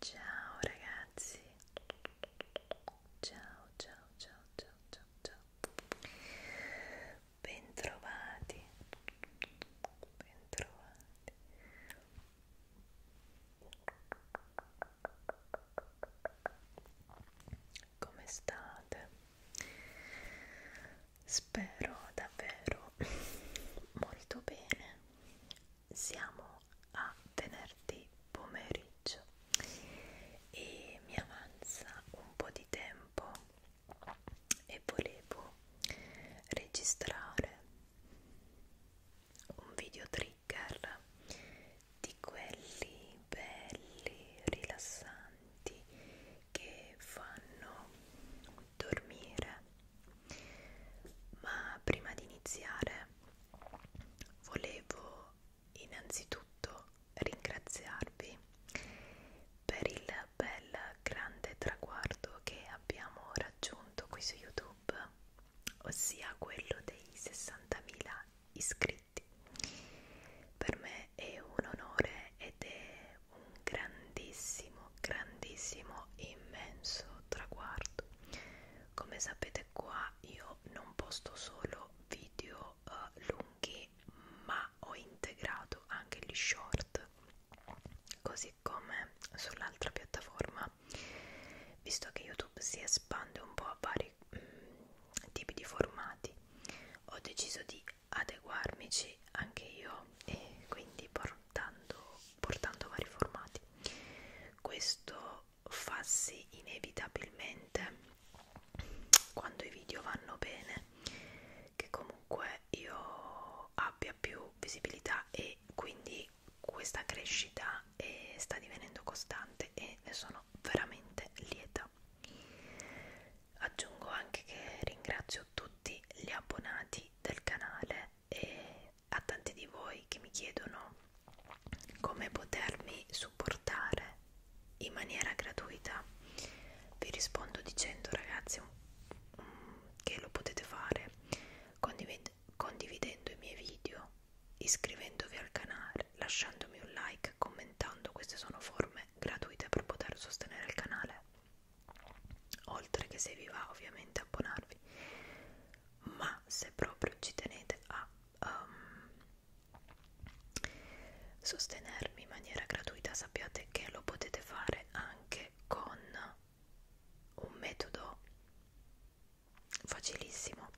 Ciao ragazzi. Ciao, ciao, ciao, ciao, ciao, Bentrovati, bentrovati. Come state? Spero davvero molto bene. Siamo a venerdì pomeriggio e mi avanza un po' di tempo e volevo registrare un video trigger di quelli belli rilassanti che fanno dormire ma prima di iniziare volevo innanzitutto ringraziarvi per il bel grande traguardo che abbiamo raggiunto qui su YouTube, ossia quello dei 60.000 iscritti. Per me è un onore ed è un grandissimo, grandissimo, immenso traguardo. Come sapete qua io non posto solo video eh, lunghi e ma ho integrato anche gli short così come sull'altra piattaforma visto che youtube si espande un po' a vari mh, mm, tipi di formati ho deciso di adeguarmi anche io e quindi portando, portando vari formati questo fa sì inevitabilmente quando i video vanno bene che comunque io abbia più visibilità e quindi questa crescita eh, sta divenendo costante e ne sono veramente lieta aggiungo anche che ringrazio tutti gli abbonati del canale e a tanti di voi che mi chiedono come potermi supportare in maniera gratuita vi rispondo dicendo ragazzi che lo potete fare condivid condividendo i miei video iscrivendovi al canale lasciandomi un like commentando queste sono forme gratuite per poter sostenere il canale oltre che se vi va ovviamente abbonarvi ma se proprio ci tenete a um, sostenermi in maniera gratuita sappiate che lo potete fare anche con un metodo facilissimo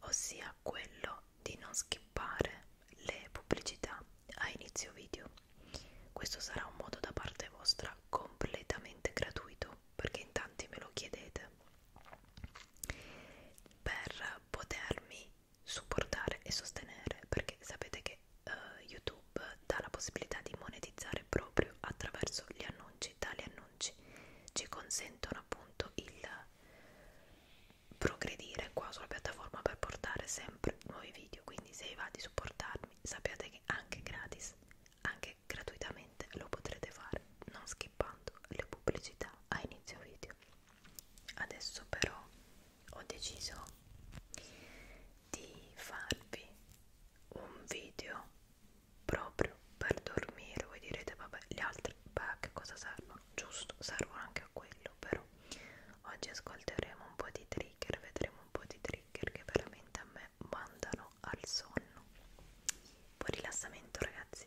ossia quello di non skippare le pubblicità a inizio video questo sarà un modo da parte vostra completamente gratuito perché in tanti me lo chiedete per potermi supportare e sostenere perché sapete che uh, YouTube dà la possibilità di monetizzare proprio attraverso gli annunci, tali annunci ci consentono appunto il progredire qua sulla piattaforma per portare sempre nuovi video, quindi se vi va di supportarmi sappiate che anche gratis, anche gratuitamente lo potrete fare non skippando le pubblicità a inizio video adesso però ho deciso di farvi un video proprio per dormire voi direte vabbè gli altri beh, a che cosa servono giusto servono anche a quello però oggi ascolteremo un po' di trigger vedremo un po' di trigger che veramente a me mandano al sonno buon rilassamento ragazzi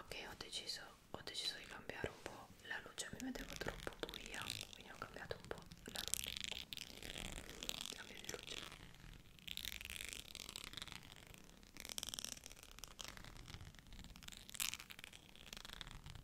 ok ho deciso ho deciso di cambiare un po' la luce mi vedevo troppo buia quindi ho cambiato un po' la luce cambio di luce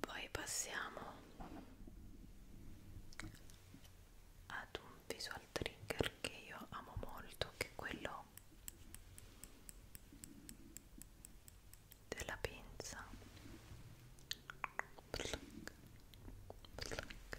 poi passiamo ad un visual trigger che io amo molto che è quello della pinza pluck, pluck, pluck,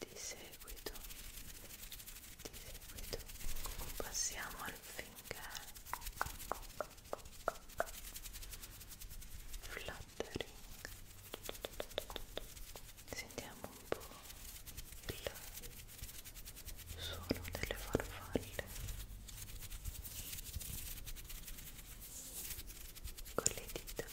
di seguito di seguito passiamo al finger fluttering sentiamo un po' il suono delle farfalle con le dita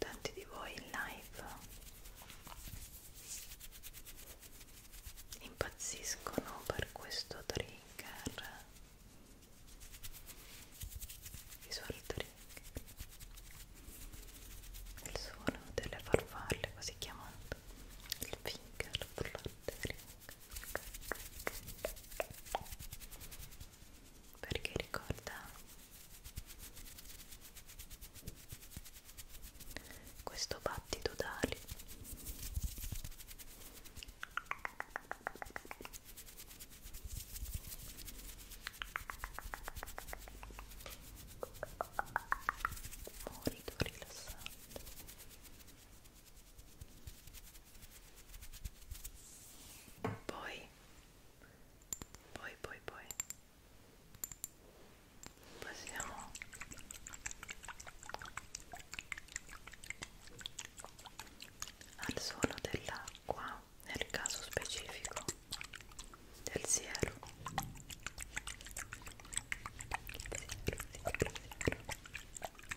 tanti di voi in live impazziscono per questo trigger visual trigger il suono delle farfalle così chiamato il finger flottering perché ricorda questo battito d'ali molto rilassante poi poi poi poi passiamo al suono dell'acqua nel caso specifico del cielo Cielo, cielo, cielo.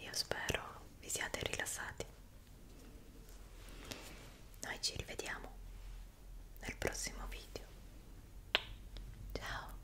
Io spero vi siate rilassati. Noi ci rivediamo nel prossimo video. Ciao!